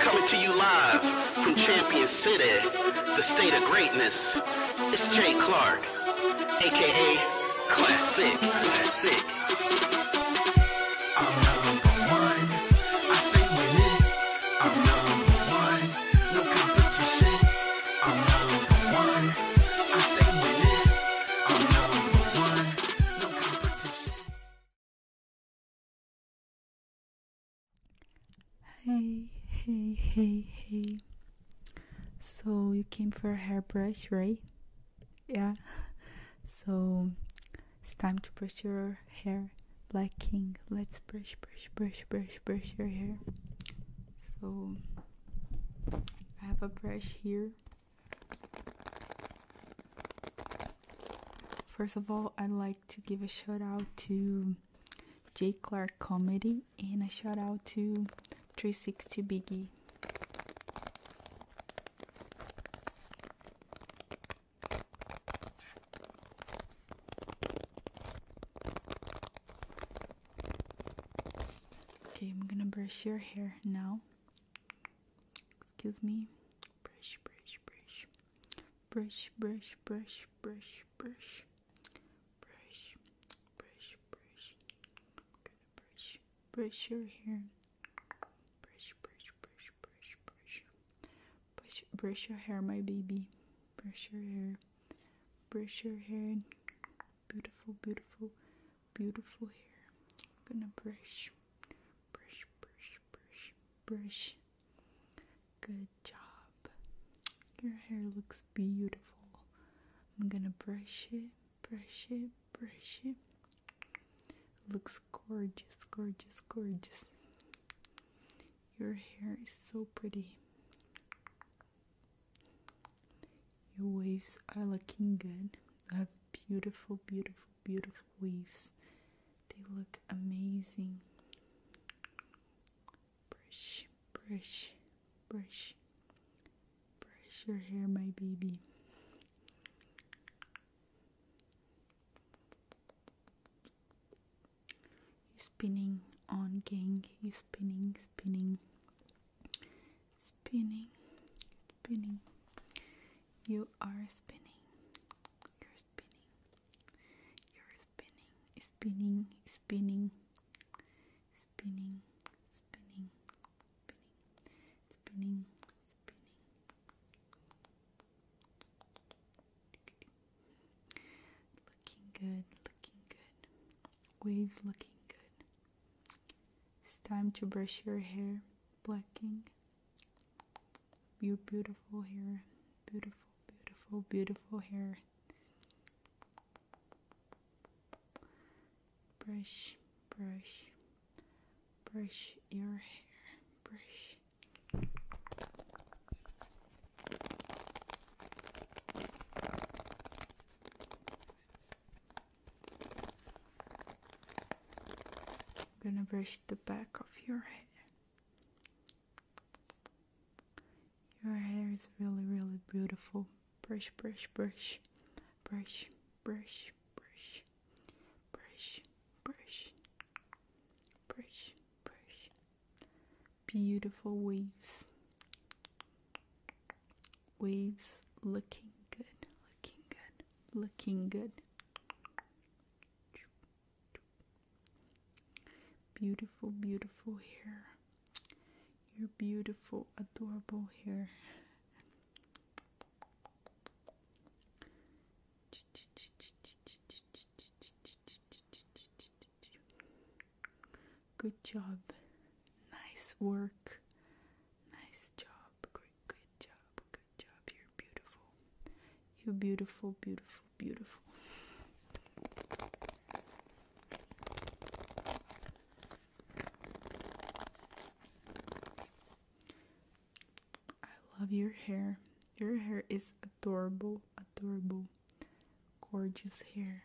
Coming to you live from Champion City, the state of greatness, it's Jay Clark, aka Classic. Classic. I'm number one, I stay with I'm number one, no competition. I'm number one, I stay with Hey, hey, hey, hey. So you came for a hairbrush, right? Yeah. So it's time to brush your hair. Black King, let's brush, brush, brush, brush, brush your hair. So I have a brush here. First of all, I'd like to give a shout out to J. Clark Comedy and a shout out to 360 Biggie. Okay, I'm gonna brush your hair now. Excuse me. Brush, brush, brush. Brush, brush, brush, brush, brush. Brush, brush, brush. I'm gonna brush. Brush your hair. Brush, brush, brush, brush, brush. Brush, brush your hair, my baby. Brush your hair. Brush your hair. Beautiful, beautiful beautiful hair. I'm gonna brush, brush, brush, brush, brush. Good job. Your hair looks beautiful. I'm gonna brush it, brush it, brush it. Looks gorgeous, gorgeous, gorgeous. Your hair is so pretty. Your waves are looking good. You have beautiful, beautiful, beautiful waves. They look amazing. Brush, brush, brush, brush your hair, my baby. You're spinning on, gang. You're spinning, spinning spinning, spinning. You are spinning. You're spinning. You're spinning. Spinning, spinning, spinning, spinning, spinning, spinning, spinning. Looking good, looking good. Waves looking good. It's time to brush your hair, blacking your beautiful hair. Beautiful, beautiful, beautiful hair. Brush, brush, brush your hair. Brush. I'm gonna brush the back of your hair. Your hair is really, really beautiful. Brush, brush, brush, brush, brush, brush, brush, brush, brush, brush. Beautiful waves. Waves looking good, looking good, looking good. Beautiful, beautiful hair. Your beautiful, adorable hair. Good job. Nice work. Nice job. Great good job. Good job. You're beautiful. You're beautiful, beautiful, beautiful. I love your hair. Your hair is adorable, adorable, gorgeous hair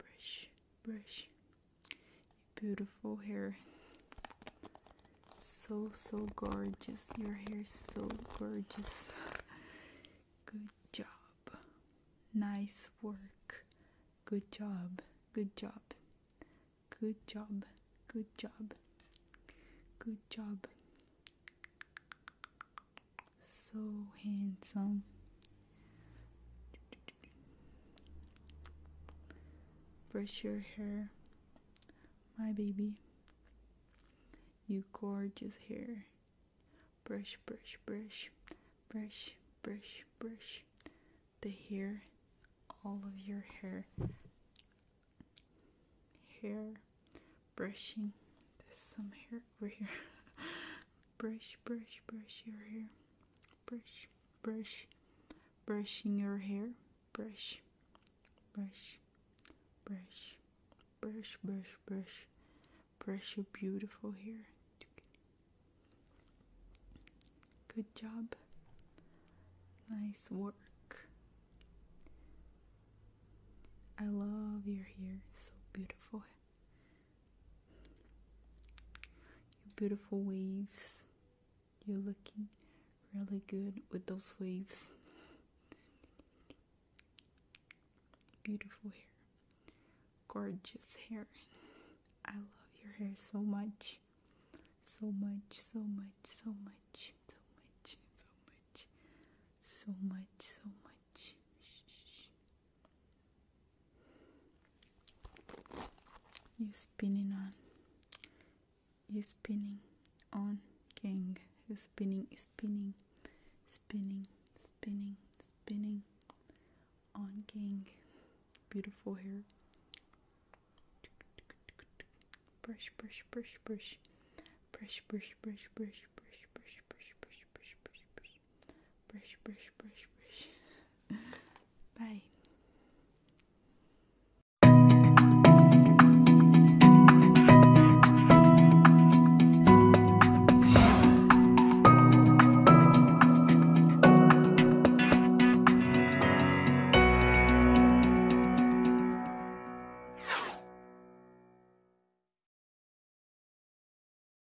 Brush, brush your beautiful hair. So, so gorgeous. Your hair is so gorgeous. Good job. Nice work. Good job. Good job. Good job. Good job. Good job. So handsome. Brush your hair, my baby. You gorgeous hair. Brush, brush, brush, brush, brush, brush. The hair, all of your hair. Hair brushing. There's some hair over here. brush, brush, brush your hair, brush, brush, brushing your hair, brush, brush, brush, brush, brush, brush, brush your beautiful hair. Good job. Nice work. I love your hair, so beautiful. Your beautiful waves. You're looking really good with those waves. Beautiful hair. Gorgeous hair. I love your hair so much. So much, so much, so much, so much, so much, so much, so much you spinning on you spinning on king you spinning spinning spinning spinning spinning on king beautiful hair brush brush brush brush brush brush brush brush brush brush brush brush brush brush brush, brush, brush, brush. Bye.